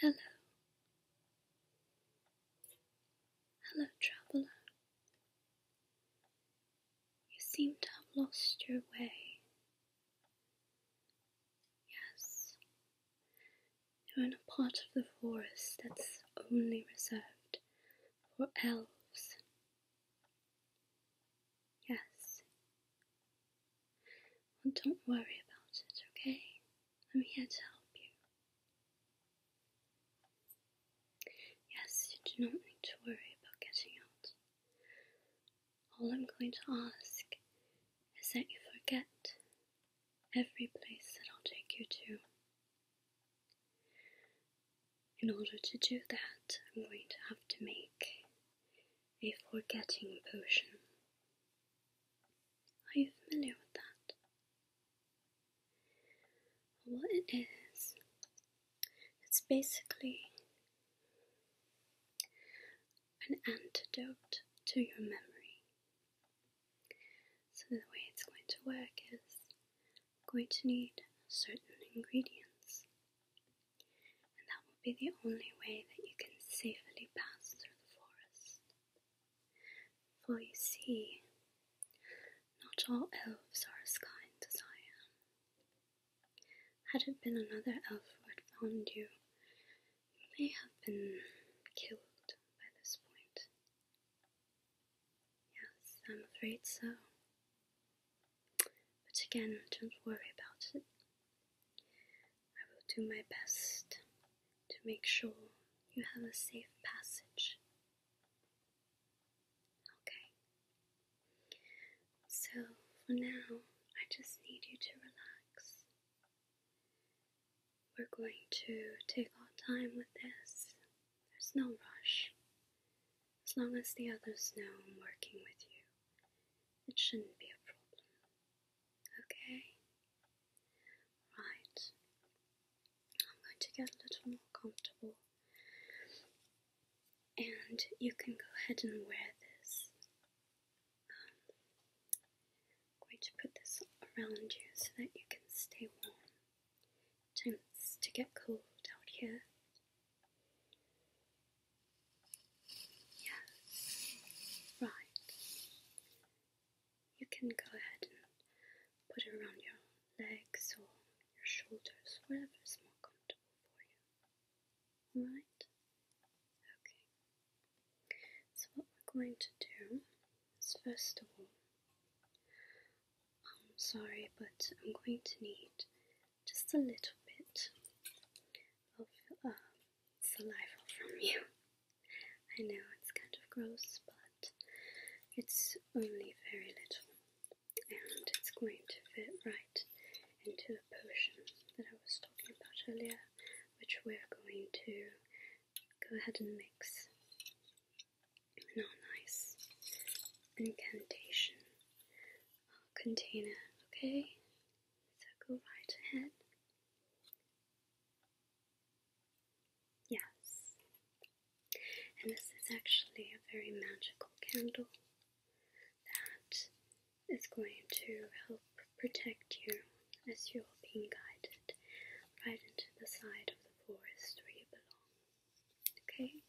Hello. Hello, traveller. You seem to have lost your way. Yes, you're in a part of the forest that's only reserved for elves. Yes, well, don't worry about it, okay? I'm here to help you. Yes, you do not need to worry about getting out. All I'm going to ask is that you forget every place that I'll take you to. In order to do that, I'm going to have to make a forgetting potion. Are you familiar with that? What it is, it's basically an antidote to your memory. So, the way it's going to work is I'm going to need certain ingredients that will be the only way that you can safely pass through the forest. For you see, not all elves are as kind as I am. Had it been another elf who had found you, you may have been killed by this point. Yes, I'm afraid so. But again, don't worry about it. I will do my best to make sure you have a safe passage. Okay. So for now, I just need you to relax. We're going to take our time with this. There's no rush. As long as the others know I'm working with you, it shouldn't be a problem. Okay? Right. I'm going to get a little more comfortable. And you can go ahead and wear this. going to put this around you so that you can stay warm. It tends to get cold out here. Yes, right. You can go ahead and put it around your legs or your shoulders, whatever is more comfortable for you. Right? Okay. So, what we're going to do is first of all, I'm sorry, but I'm going to need just a little bit of um, saliva from you. I know it's kind of gross, but it's only very little, and it's going to fit right into the potion that I was talking about earlier, which we're going to go ahead and mix in our nice incantation container, okay? So go right ahead Yes. And this is actually a very magical candle that is going to help protect you as you are being guided right into the side of the forest where you belong. Okay?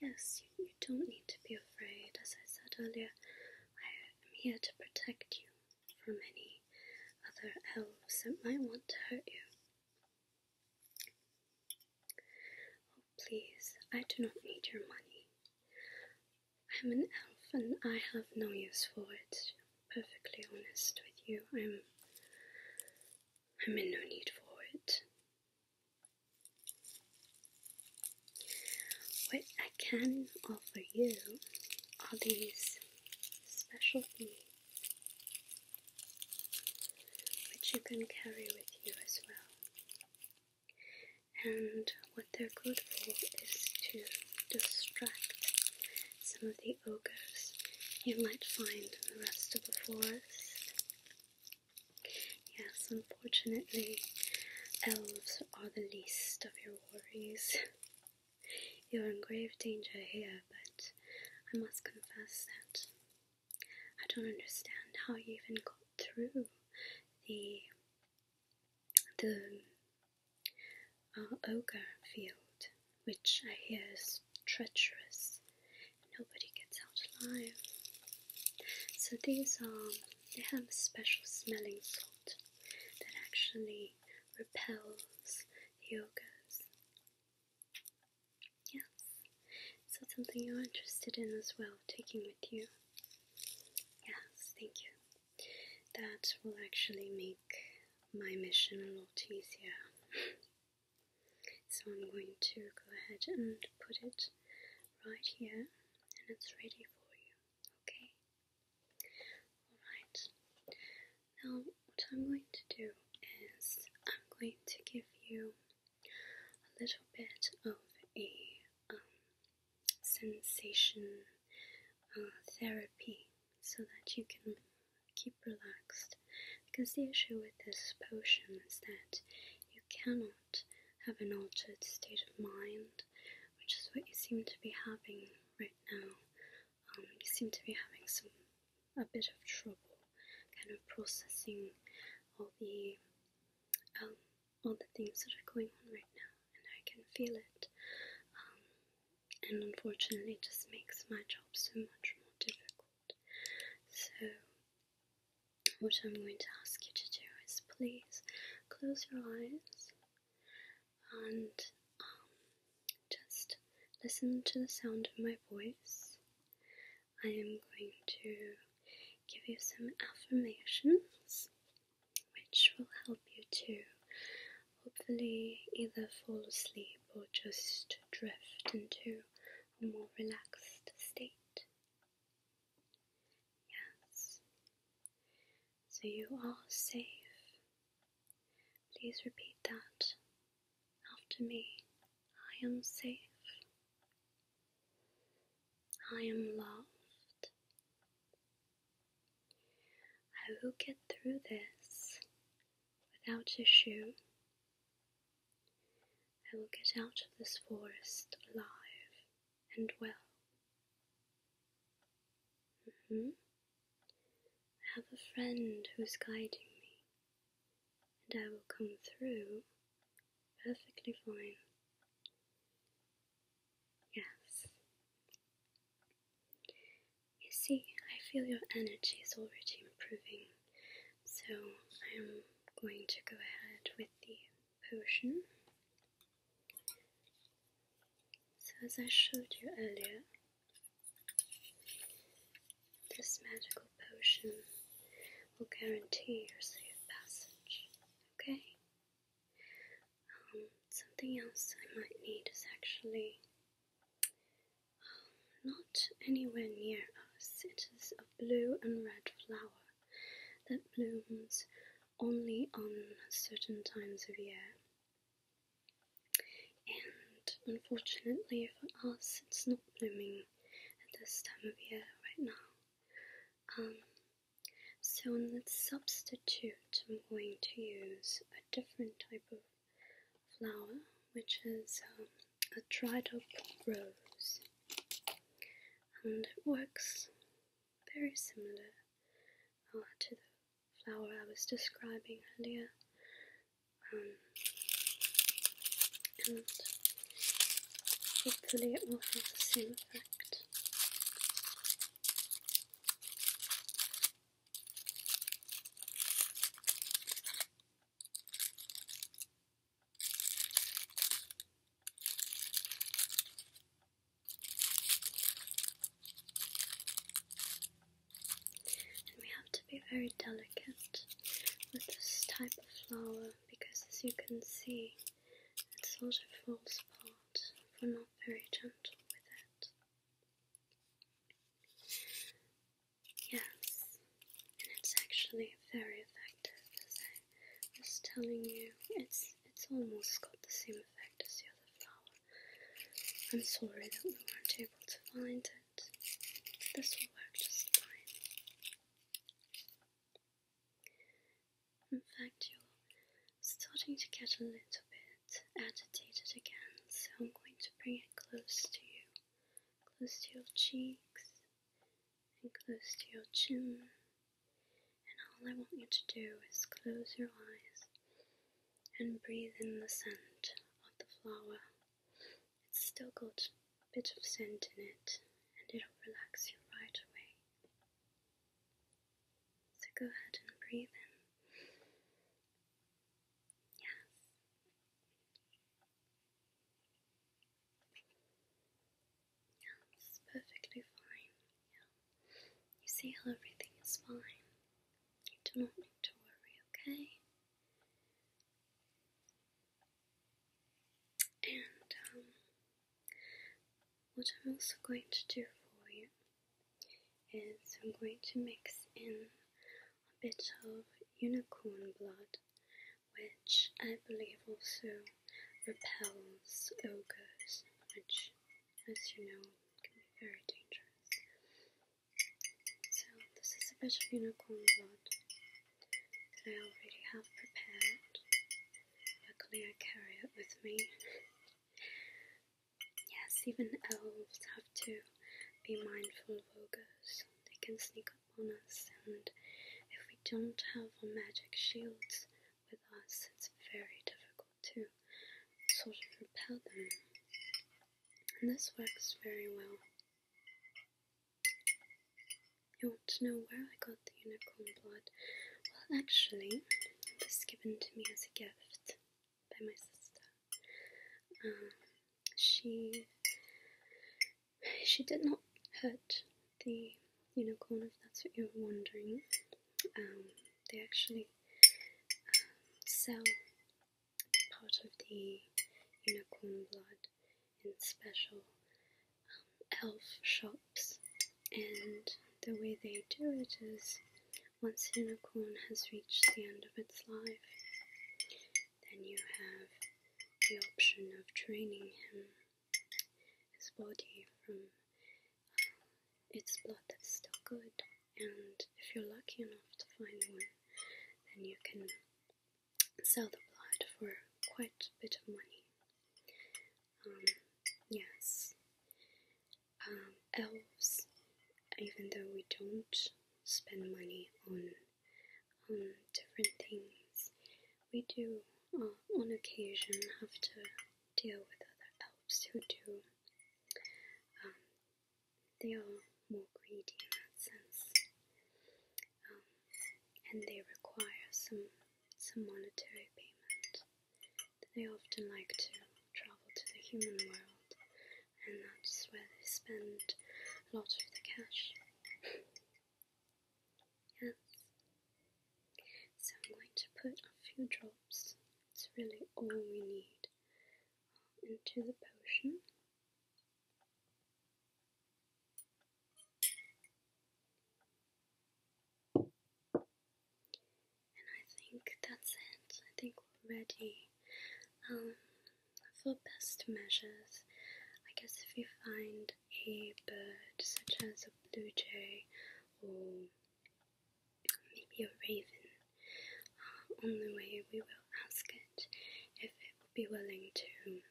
Yes, you don't need to be afraid. As I said earlier, I am here to protect you from any other elves that might want to hurt you. Oh, please, I do not need your money. I am an elf and I have no use for it. perfectly honest with you, I'm. I'm in no need for it. What I can offer you are these special beads, which you can carry with you as well. And what they're good for is to distract some of the ogres you might find in the rest of the forest. Yes, unfortunately, elves are the least of your worries. You're in grave danger here, but I must confess that I don't understand how you even got through the the uh, ogre field, which I hear is treacherous. Nobody gets out alive. So these are they have a special smelling salt that actually repels the ogres. Yes, so something you're interested in as well, taking with you. Yes, thank you. That will actually make my mission a lot easier. so I'm going to go ahead and put it right here and it's ready for you, okay? Alright, now what I'm going to do is I'm going to give you a little bit of a um, sensation uh, therapy so that you can keep relaxed because the issue with this potion is that cannot have an altered state of mind, which is what you seem to be having right now. Um, you seem to be having some a bit of trouble, kind of processing all the um, all the things that are going on right now, and I can feel it. Um, and unfortunately, it just makes my job so much more difficult. So what I'm going to ask you to do is please close your eyes and um, just listen to the sound of my voice. I am going to give you some affirmations which will help you to hopefully either fall asleep or just drift into a more relaxed state. Yes. So you are safe. Please repeat that after me. I am safe. I am loved. I will get through this without issue. I will get out of this forest alive and well. -hmm. I have a friend who's guiding me, and I will come through perfectly fine. Yes. You see, I feel your energy is already improving, so I am going to go ahead with the potion. So, as I showed you earlier, this magical potion will guarantee your safe passage. Okay? Um, something else I might need is actually um, not anywhere near us, it is a blue and red flower that blooms only on certain times of year. And unfortunately for us, it's not blooming at this time of year right now. Um, so in the substitute, I'm going to use a different type of flower, which is um, a dried up rose. And it works very similar to the flower I was describing earlier. Um, and hopefully it will have the same effect. And we have to be very delicate with this type of flower because as you can see it sort of falls apart if we're not very gentle with it. Yes, and it's actually very effective as a I was telling you, it's it's almost got the same effect as the other flower. I'm sorry that we weren't able to find it. This will work just fine. In fact, you're starting to get a little bit agitated again, so I'm going to bring it close to you, close to your cheeks, and close to your chin. And all I want you to do is close your eyes and breathe in the scent of the flower. It's still got a bit of scent in it, and it'll relax you right away. So go ahead and breathe in. Yes. Yeah, this perfectly fine. Yeah. You see how everything is fine. You do not need to worry, okay? And um, what I'm also going to do for you is I'm going to mix in a bit of unicorn blood which I believe will soothe repels ogres, which, as you know, can be very dangerous. So, this is a bit of unicorn blood that I already have prepared. Luckily, I carry it with me. yes, even elves have to be mindful of ogres, they can sneak up on us, and if we don't have our magic shields with us, it's very difficult to sort of repel them, and this works very well. You want to know where I got the unicorn blood? Well, actually, this was given to me as a gift by my sister. Uh, she she did not hurt the unicorn if that's what you're wondering. Um, they actually um, sell part of the unicorn blood in special um, elf shops, and the way they do it is once unicorn has reached the end of its life, then you have the option of training him his body from um, its blood that's still good. And if you're lucky enough to find one, then you can sell the blood for quite a bit of money. Um, yes, um, elves, even though we don't spend money on um, different things, we do uh, on occasion have to deal with other elves who do. Um, they are more greedy in that sense, um, and they require some some monetary payment. They often like to travel to the human world, and that's where they spend a lot of the cash. yes, so I'm going to put a few drops, it's really all we need, into the potion. And I think that's it. I think we're ready. Um, for best measures, I guess if you find a bird such as a blue jay or maybe a raven. Uh, on the way, we will ask it if it will be willing to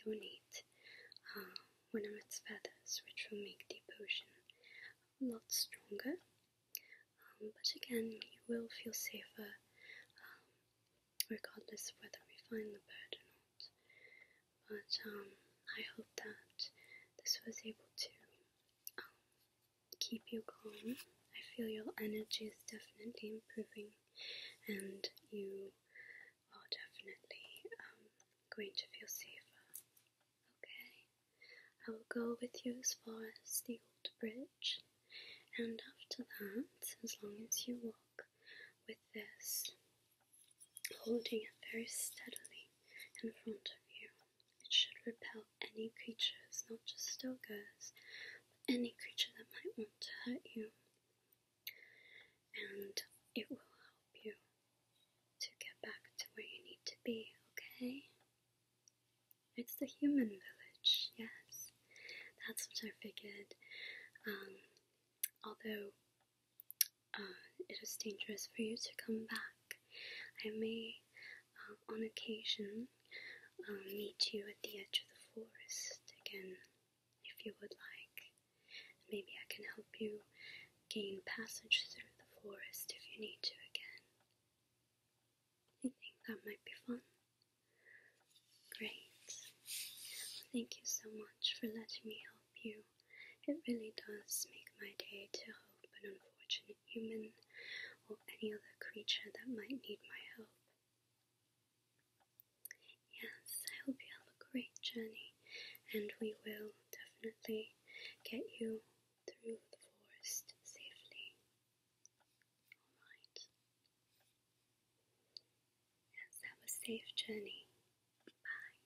donate uh, one of its feathers, which will make the potion a lot stronger. Um, but again, you will feel safer um, regardless of whether we find the bird or not. But um, I hope that this was able to keep you calm. I feel your energy is definitely improving, and you are definitely um, going to feel safer. Okay, I will go with you as far as the old bridge, and after that, as long as you walk with this, holding it very steadily in front of you, it should repel any creatures, not just ogres, but any creature that might want to hurt you. And it will help you to get back to where you need to be, okay? It's the human village, yes. That's what I figured. Um, although uh, it is dangerous for you to come back. I may, um, on occasion, um, meet you at the edge of the forest again, if you would like. Maybe I can help you gain passage through the forest if you need to again. You think that might be fun. Great. thank you so much for letting me help you. It really does make my day to help an unfortunate human or any other creature that might need my help. Yes, I hope you have a great journey, and we will definitely get you through the forest safely. Alright. Yes, have a safe journey. Bye.